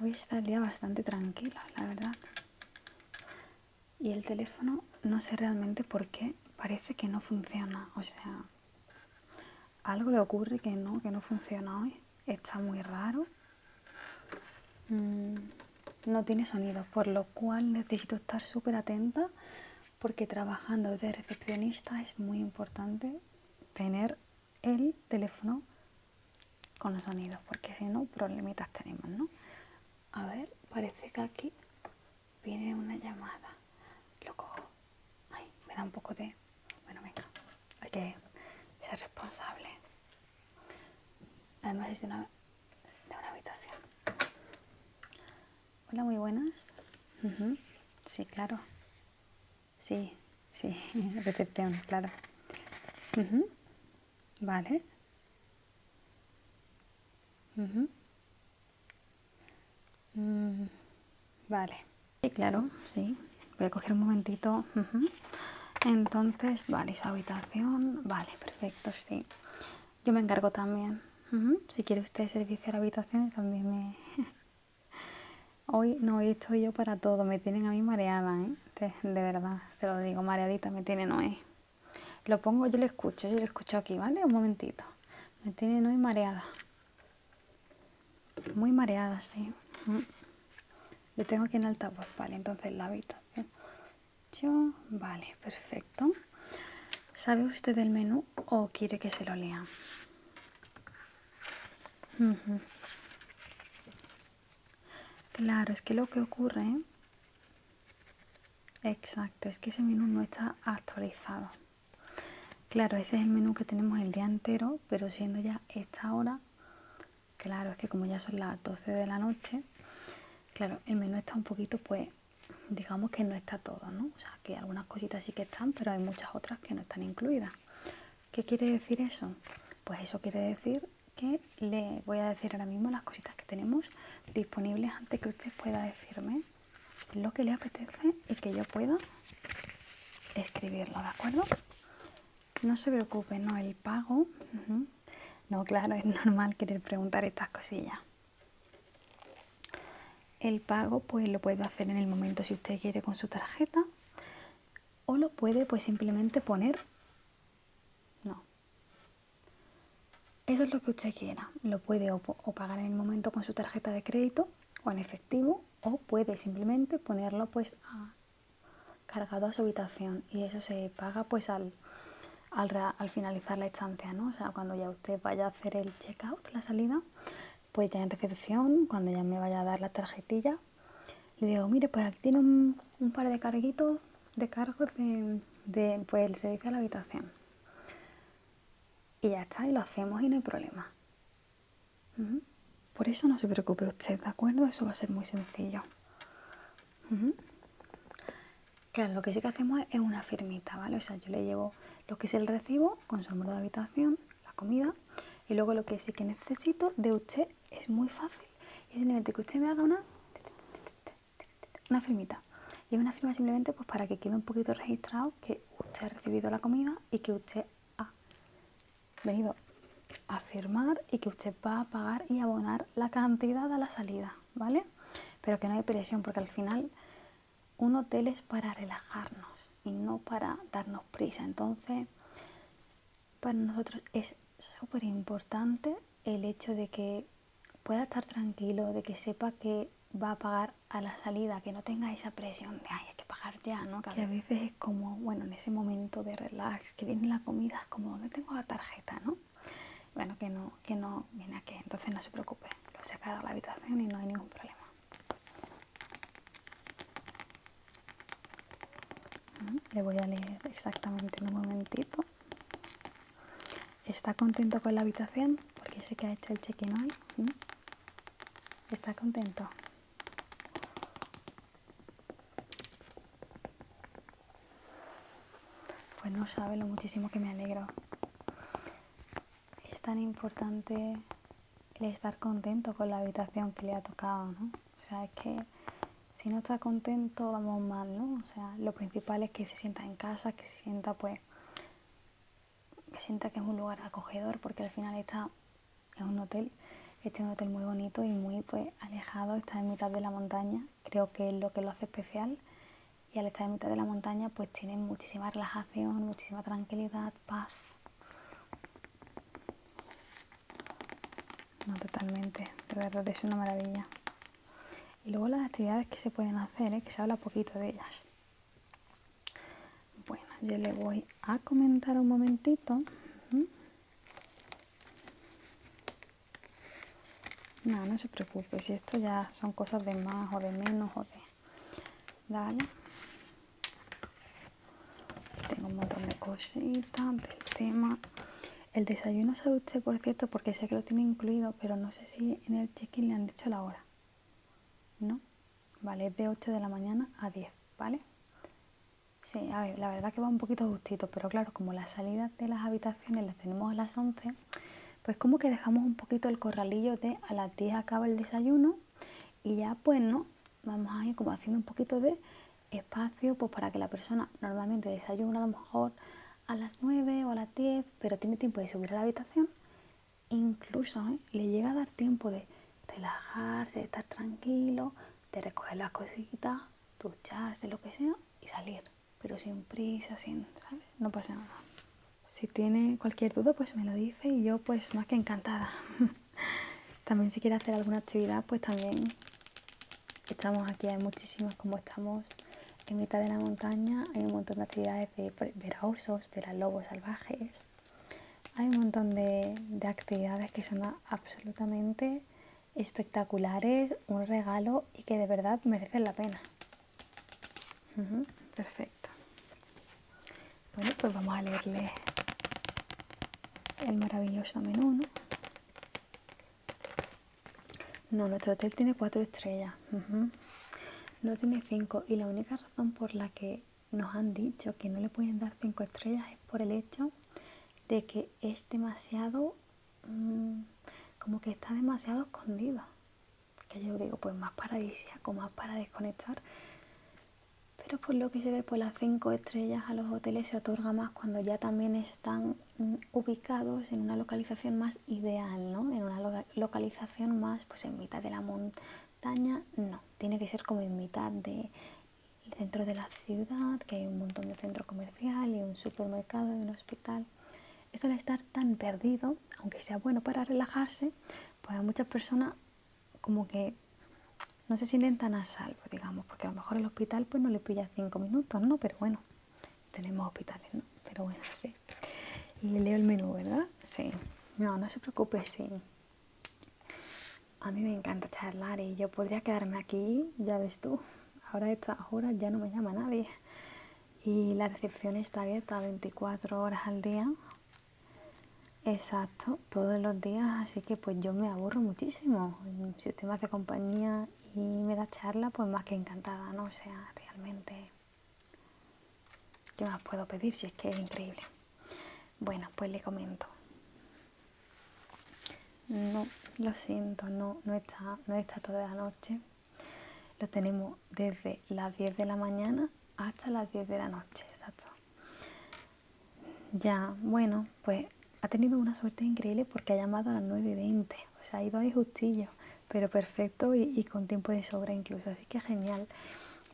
Hoy está el día bastante tranquilo, la verdad. Y el teléfono, no sé realmente por qué, parece que no funciona. O sea, algo le ocurre que no, que no funciona hoy. Está muy raro. Mm, no tiene sonido, por lo cual necesito estar súper atenta porque trabajando de recepcionista es muy importante tener el teléfono con los sonidos, porque si no, problemitas tenemos, ¿no? A ver, parece que aquí viene una llamada. Lo cojo. Ay, me da un poco de... Bueno, venga, hay que ser responsable. Además es una, de una habitación. Hola, muy buenas. Sí, claro. Sí, sí, recepción, claro. Vale. Mm, vale. Sí, claro, sí. Voy a coger un momentito. Entonces, vale, su habitación. Vale, perfecto, sí. Yo me encargo también. Si quiere usted servicio a la habitación, también me... hoy no, hoy estoy yo para todo. Me tienen a mí mareada, ¿eh? De, verdad, se lo digo, mareadita me tienen hoy. Lo pongo, yo le escucho, yo lo escucho aquí, ¿vale? Un momentito. Me tienen hoy mareada. Muy mareada, sí. Lo tengo aquí en altavoz, vale, entonces la habitación. Yo, vale, perfecto. ¿Sabe usted del menú o quiere que se lo lea? Claro, es que lo que ocurre... Exacto, es que ese menú no está actualizado. Claro, ese es el menú que tenemos el día entero, pero siendo ya esta hora, claro, es que como ya son las 12 de la noche, claro, el menú está un poquito pues digamos que no está todo, ¿no? O sea, que algunas cositas sí que están, pero hay muchas otras que no están incluidas. ¿Qué quiere decir eso? Pues eso quiere decir que le voy a decir ahora mismo las cositas que tenemos disponibles antes que usted pueda decirme lo que le apetece y que yo pueda escribirlo, ¿de acuerdo? No se preocupe, ¿no? El pago. No, claro, es normal querer preguntar estas cosillas. El pago pues lo puede hacer en el momento si usted quiere con su tarjeta o lo puede pues simplemente poner no. Eso es lo que usted quiera. Lo puede o, pagar en el momento con su tarjeta de crédito o en efectivo o puede simplemente ponerlo pues cargado a su habitación y eso se paga pues al al, finalizar la estancia, ¿no? sea, cuando ya usted vaya a hacer el check-out, la salida, pues ya en recepción, cuando ya me vaya a dar la tarjetilla, le digo, mire, pues aquí tiene un, par de carguitos, de cargos de, pues, el servicio a la habitación. Y ya está, y lo hacemos y no hay problema. Por eso no se preocupe usted, ¿de acuerdo? Eso va a ser muy sencillo. Claro, lo que sí que hacemos es una firmita, ¿vale? O sea, yo le llevo lo que es el recibo con su número de habitación, la comida, y luego lo que sí que necesito de usted es muy fácil. Es simplemente que usted me haga una, una firmita. Y es una firma simplemente pues para que quede un poquito registrado que usted ha recibido la comida y que usted ha venido a firmar y que usted va a pagar y abonar la cantidad a la salida. ¿vale? Pero que no hay presión, porque al final un hotel es para relajarnos y no para darnos prisa. Entonces, para nosotros es súper importante el hecho de que pueda estar tranquilo, de que sepa que va a pagar a la salida, que no tenga esa presión de, ay, hay que pagar ya, ¿no? Que a veces es como, bueno, en ese momento de relax, que viene la comida, es como, no tengo la tarjeta, no? Bueno, que no, que no, viene aquí, entonces no se preocupe, lo se de la habitación y no hay ningún problema. Le voy a leer exactamente un momentito. ¿Está contento con la habitación? Porque sé que ha hecho el check-in hoy. ¿Está contento? Pues no sabe lo muchísimo que me alegro. Es tan importante el estar contento con la habitación que le ha tocado, ¿no? O sea, es que si no está contento vamos mal, ¿no? O sea, lo principal es que se sienta en casa, que se sienta pues que sienta que es un lugar acogedor porque al final está en un hotel, este es un hotel muy bonito y muy pues alejado, está en mitad de la montaña, creo que es lo que lo hace especial y al estar en mitad de la montaña pues tienen muchísima relajación, muchísima tranquilidad, paz. No, totalmente, de verdad es una maravilla. Y luego las actividades que se pueden hacer, ¿eh? que se habla poquito de ellas. Bueno, yo le voy a comentar un momentito nada no se preocupe, si esto ya son cosas de más o de menos o de... Dale. Tengo un montón de cositas del tema. El desayuno sabe usted, por cierto, porque sé que lo tiene incluido, pero no sé si en el check-in le han dicho la hora. ¿No? Vale, es de 8 de la mañana a 10, ¿vale? Sí, a ver, la verdad que va un poquito justito, pero claro, como las salidas de las habitaciones las tenemos a las 11, pues como que dejamos un poquito el corralillo de a las 10 acaba el desayuno y ya pues no, vamos a ir como haciendo un poquito de espacio pues, para que la persona normalmente desayuna a lo mejor a las 9 o a las 10, pero tiene tiempo de subir a la habitación, incluso ¿eh? le llega a dar tiempo de relajarse, de estar tranquilo, de recoger las cositas, ducharse, lo que sea y salir pero sin prisa, sin, No pasa nada. Si tiene cualquier duda, pues me lo dice y yo pues más que encantada. también si quiere hacer alguna actividad, pues también estamos aquí, hay muchísimas como estamos en mitad de la montaña, hay un montón de actividades de ver a osos, ver a lobos salvajes, hay un montón de, de actividades que son absolutamente espectaculares, un regalo y que de verdad merecen la pena. perfecto. Bueno, pues vamos a leerle el maravilloso menú, ¿no? nuestro hotel tiene cuatro estrellas. No tiene cinco. Y la única razón por la que nos han dicho que no le pueden dar cinco estrellas es por el hecho de que es demasiado Mm, como que está demasiado escondido. Que yo digo, pues más paradisiaco, más para desconectar. Pero por lo que se ve, por las cinco estrellas a los hoteles se otorga más cuando ya también están mm, ubicados en una localización más ideal, ¿no? En una localización más, pues en mitad de la montaña, no. Tiene que ser como en mitad de centro de la ciudad, que hay un montón de centro comercial y un supermercado y un hospital eso de estar tan perdido, aunque sea bueno para relajarse, pues a muchas personas como que no se sienten tan a salvo, digamos, porque a lo mejor el hospital pues no le pilla cinco minutos, ¿no? Pero bueno, tenemos hospitales, ¿no? Pero bueno, sí. Y leo el menú, ¿verdad? Sí. No, no se preocupe, sí. A mí me encanta charlar y yo podría quedarme aquí, ya ves tú. Ahora estas horas ya no me llama nadie. Y la recepción está abierta 24 horas al día. Exacto, todos los días, así que pues yo me aburro muchísimo. Si usted me hace compañía y me da charla, pues más que encantada, ¿no? O sea, realmente, ¿qué más puedo pedir si es que es increíble? Bueno, pues le comento no, lo siento, no, no, está, no está toda la noche. Lo tenemos desde las 10 de la mañana hasta las 10 de la noche, exacto. Ya, bueno, pues ha tenido una suerte increíble porque ha llamado a las 9 O sea, ha ido ahí justillo, pero perfecto y con tiempo de sobra incluso. Así que genial.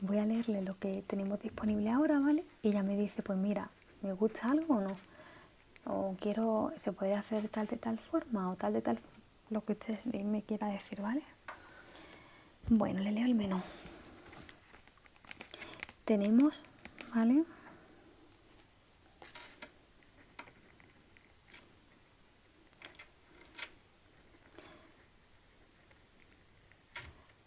Voy a leerle lo que tenemos disponible ahora, ¿vale? Y ya me dice, pues mira, ¿me gusta algo o no? o quiero, se puede hacer tal de tal forma o tal de tal, lo que usted me quiera decir, ¿vale? Bueno, le leo el menú. Tenemos, ¿vale?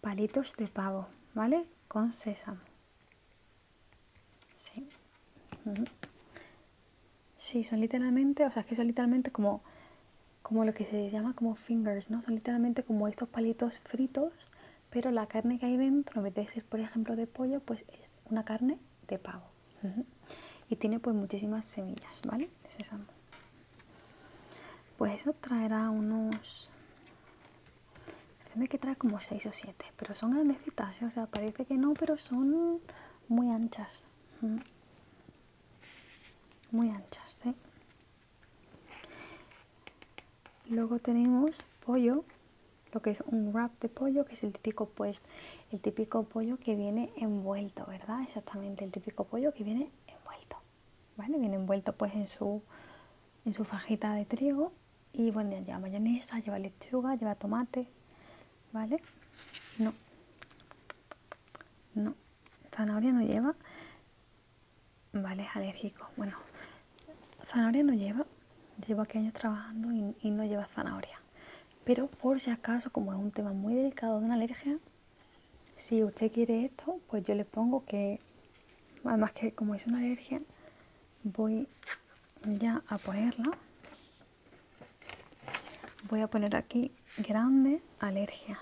Palitos de pavo, ¿vale? Con sésamo. Sí. son literalmente, o sea, es que son literalmente como, como lo que se llama como fingers, ¿no? Son literalmente como estos palitos fritos, pero la carne que hay dentro, en vez de ser, por ejemplo, de pollo, pues es una carne de pavo. Y tiene pues muchísimas semillas, ¿vale? Pues eso traerá unos parece que trae como 6 o 7, pero son grandecitas, ¿eh? o sea, parece que no, pero son muy anchas. Mm. Muy anchas, ¿eh? Luego tenemos pollo, lo que es un wrap de pollo, que es el típico pues, el típico pollo que viene envuelto, ¿verdad? Exactamente, el típico pollo que viene envuelto. ¿Vale? Viene envuelto pues en su en su fajita de trigo y bueno, lleva mayonesa, lleva lechuga, lleva tomate, ¿vale? No, no, zanahoria no lleva, vale, es alérgico, bueno, zanahoria no lleva, llevo aquí años trabajando y, y no lleva zanahoria, pero por si acaso, como es un tema muy delicado de una alergia, si usted quiere esto, pues yo le pongo que, además que como es una alergia, voy ya a ponerla voy a poner aquí grande alergia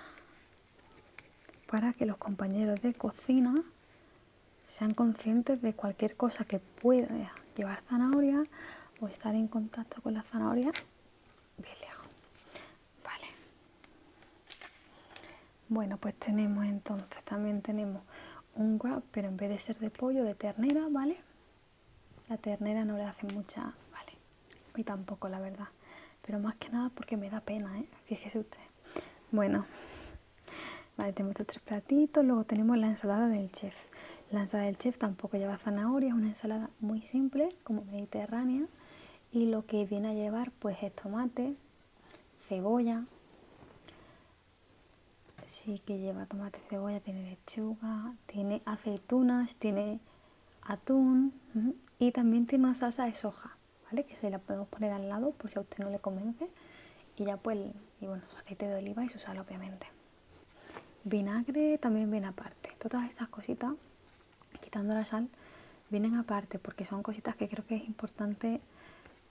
para que los compañeros de cocina sean conscientes de cualquier cosa que pueda llevar zanahoria o estar en contacto con la zanahoria bien lejos bueno, pues tenemos entonces, también tenemos un wrap, pero en vez de ser de pollo, de ternera, ¿vale? La ternera no le hace mucha, ¿vale? Y tampoco, la verdad. Pero más que nada porque me da pena, ¿eh? Fíjese usted. Bueno, vale, tenemos estos tres platitos. Luego tenemos la ensalada del chef. La ensalada del chef tampoco lleva zanahoria, es una ensalada muy simple, como mediterránea. Y lo que viene a llevar, pues, es tomate, cebolla, sí que lleva tomate, cebolla, tiene lechuga, tiene aceitunas, tiene atún y también tiene una salsa de soja, ¿vale? Que se la podemos poner al lado por si a usted no le convence. Y ya pues, y bueno, aceite de oliva y su sal obviamente. Vinagre también viene aparte. Todas esas cositas, quitando la sal, vienen aparte porque son cositas que creo que es importante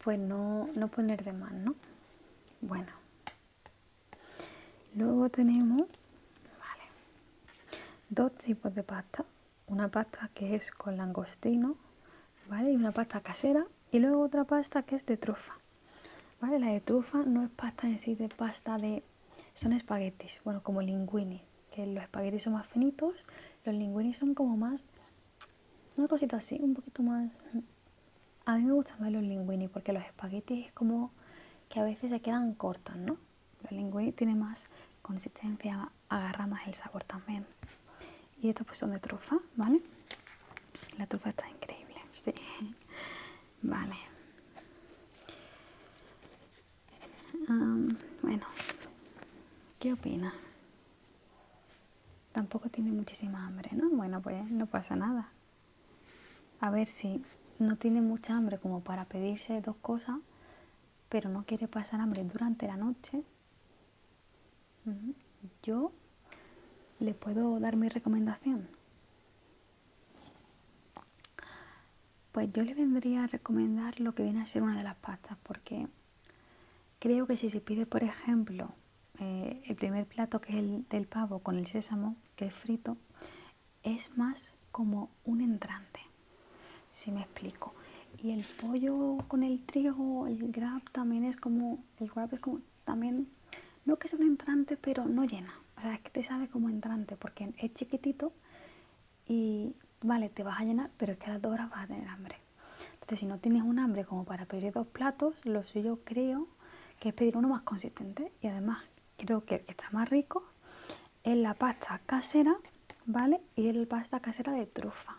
pues no, no poner de más, ¿no? Bueno. Luego tenemos vale, dos tipos de pasta. Una pasta que es con langostino, ¿vale? Y una pasta casera. Y luego otra pasta que es de trufa. ¿Vale? La de trufa no es pasta en sí de pasta de. son espaguetis, bueno, como linguini. Que los espaguetis son más finitos, los linguini son como más una cosita así, un poquito más. Mm. A mí me gustan más los linguini porque los espaguetis es como que a veces se quedan cortos, ¿no? Los linguini tiene más consistencia, agarra más el sabor también. Y estos pues son de trufa, ¿vale? La trufa está increíble, sí. Vale. bueno, ¿qué opina? Tampoco tiene muchísima hambre, ¿no? Bueno, pues no pasa nada. A ver si no tiene mucha hambre como para pedirse dos cosas, pero no quiere pasar hambre durante la noche. Yo le puedo dar mi recomendación. Pues yo le vendría a recomendar lo que viene a ser una de las pastas, porque Creo que si se pide, por ejemplo, eh, el primer plato que es el del pavo con el sésamo, que es frito, es más como un entrante, si me explico. Y el pollo con el trigo, el grab también es como, el grab es como también, no que es un entrante, pero no llena. O sea, es que te sabe como entrante porque es chiquitito y vale, te vas a llenar, pero es que a las vas a tener hambre. Entonces, si no tienes un hambre como para pedir dos platos, lo suyo creo que es pedir uno más consistente y además creo que el que está más rico es la pasta casera, ¿vale? Y el pasta casera de trufa.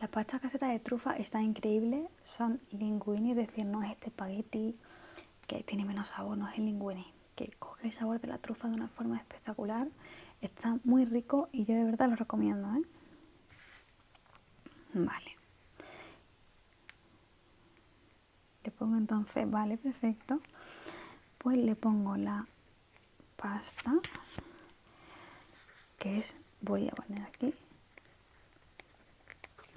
La pasta casera de trufa está increíble, son linguini, es decir, no es este espagueti que tiene menos sabor, no es el linguini, que coge el sabor de la trufa de una forma espectacular. Está muy rico y yo de verdad lo recomiendo, ¿eh? Vale. Le pongo entonces, vale, perfecto. Pues le pongo la pasta, que es, voy a poner aquí,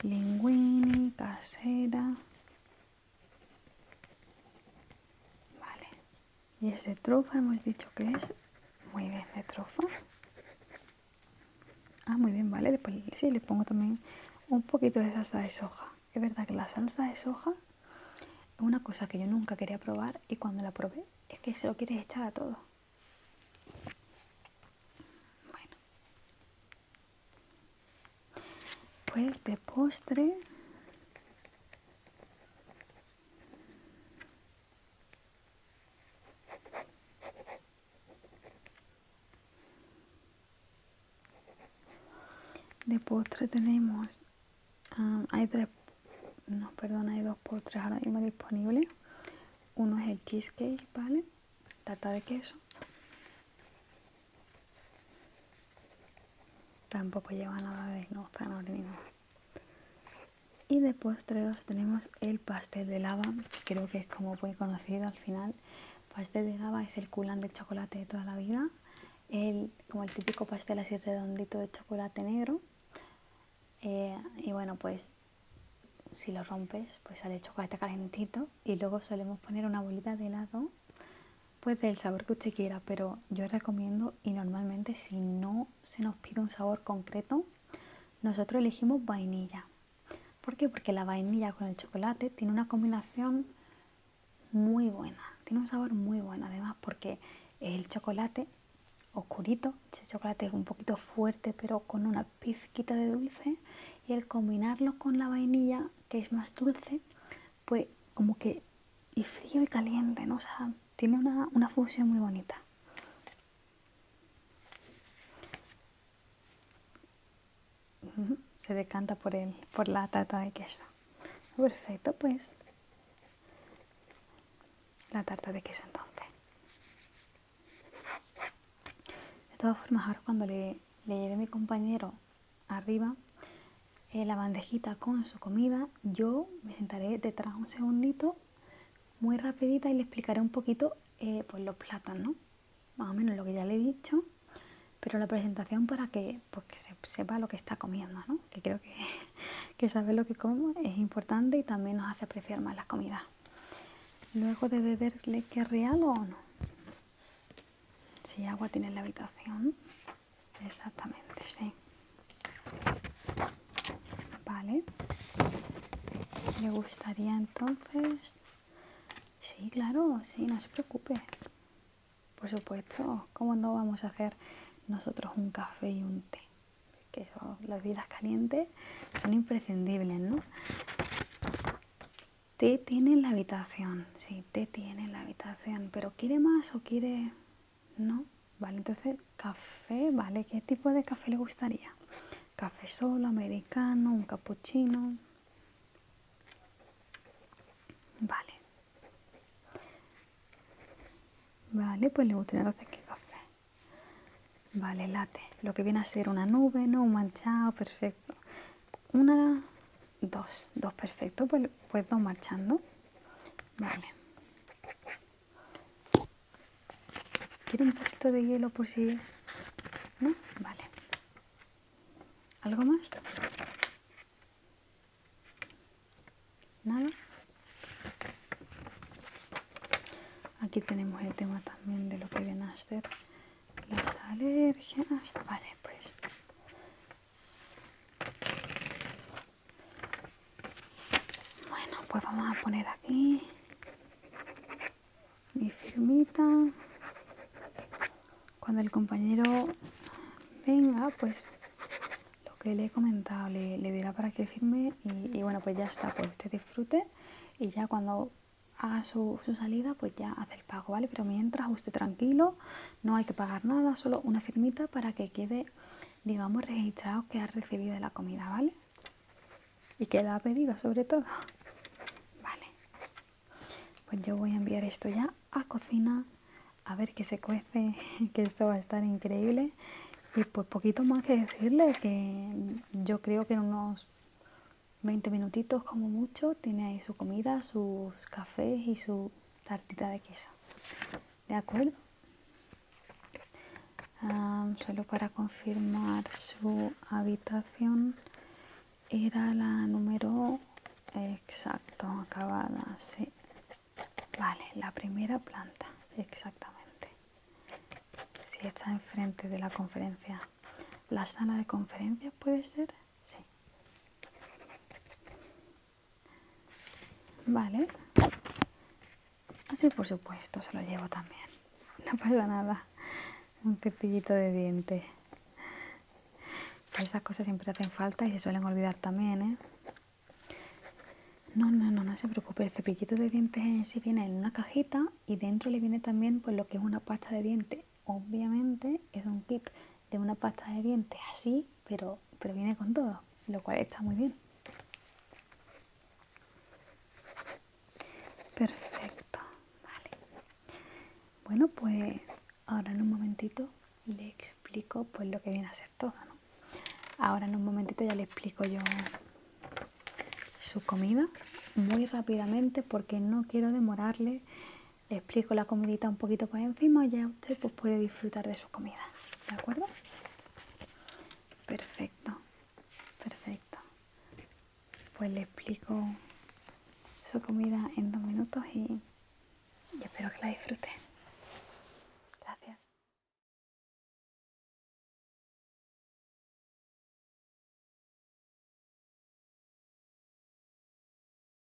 linguini, casera. Vale. Y es de trofa hemos dicho que es muy bien de trofa ah, muy bien, vale. Después sí, le pongo también un poquito de salsa de soja. Es verdad que la salsa de soja es una cosa que yo nunca quería probar y cuando la probé es que se lo quieres echar a todo. Bueno. Pues de postre de postre tenemos um, hay tres no perdón hay dos postres ahora mismo disponibles uno es el cheesecake vale tarta de queso tampoco lleva nada de no zanahoria ni y después tenemos el pastel de lava, creo que es como muy conocido al final. Pastel de lava es el culán de chocolate de toda la vida, como el típico pastel así redondito de chocolate negro. Eh, y bueno, pues si lo rompes, pues sale chocolate calentito y luego solemos poner una bolita de helado, pues del sabor que usted quiera, pero yo recomiendo y normalmente si no se nos pide un sabor concreto, nosotros elegimos vainilla. ¿Por qué? Porque la vainilla con el chocolate tiene una combinación muy buena, tiene un sabor muy bueno además porque el chocolate oscurito, ese chocolate es un poquito fuerte pero con una pizquita de dulce y el combinarlo con la vainilla que es más dulce, pues como que y frío y caliente, ¿no? tiene una, una función muy bonita. Se decanta por, el, por la tarta de queso. Perfecto, pues la tarta de queso entonces. De todas formas, ahora cuando le, mi compañero arriba, eh, la bandejita con su comida, yo me sentaré detrás un segundito, muy rapidita, y le explicaré un poquito eh, pues los plátanos, más o menos lo que ya le he dicho, pero la presentación para que, pues, se sepa lo que está comiendo, que creo que, saber lo que come es importante y también nos hace apreciar más la comida Luego de beberle que querría o no? Si agua tiene en la habitación. Exactamente, sí. Vale. me gustaría entonces? Sí, claro, sí, no se preocupe. Por supuesto, ¿cómo no vamos a hacer nosotros un café y un té? Que las vidas calientes son imprescindibles, ¿no? Té tiene la habitación, sí, té tiene la habitación, pero ¿quiere más o quiere no, vale, entonces café, vale, ¿qué tipo de café le gustaría? Café solo, americano, un cappuccino. Vale. Vale, pues le gustaría entonces qué café. Vale, late. Lo que viene a ser una nube, ¿no? Un manchado, perfecto. Una, dos, dos, perfecto. Pues, pues dos marchando. Vale. Quiero un poquito de hielo por si... ¿No? Vale. ¿Algo más? Nada. Aquí tenemos el tema también de lo que ven a ser las alergias. Vale, pues bueno, pues vamos a poner aquí mi firmita. Cuando el compañero venga, pues lo que le he comentado le, dirá para que firme y, bueno, pues ya está, pues usted disfrute y ya cuando haga su, su salida, pues ya hace el pago, ¿vale? Pero mientras usted tranquilo, no hay que pagar nada, solo una firmita para que quede, digamos, registrado que ha recibido la comida, ¿vale? Y que la ha pedido sobre todo. Vale. Pues yo voy a enviar esto ya a cocina, a ver que se cuece, que esto va a estar increíble. Y pues poquito más que decirle que yo creo que en unos 20 minutitos como mucho tiene ahí su comida, sus cafés y su tartita de queso. ¿De acuerdo? solo para confirmar su habitación era la número exacto acabada sí vale la primera planta exactamente si está enfrente de la conferencia la sala de conferencia puede ser sí Vale. Así por supuesto, se lo llevo también. No pasa nada. Un cepillito de dientes. esas cosas siempre hacen falta y se suelen olvidar también, ¿eh? No, no, no, no se preocupe. El cepillito de dientes en sí viene en una cajita y dentro le viene también pues lo que es una pasta de dientes. Obviamente es un kit de una pasta de dientes así, pero, pero viene con todo, lo cual está muy bien. Perfecto, vale. Bueno, pues ahora en un momentito le explico pues lo que viene a ser todo, Ahora en un momentito ya le explico yo su comida muy rápidamente porque no quiero demorarle le explico la comidita un poquito por encima y ya usted pues, puede disfrutar de su comida. ¿De acuerdo? Perfecto, perfecto. Pues le explico su comida en dos minutos y, y espero que la disfrute. Gracias.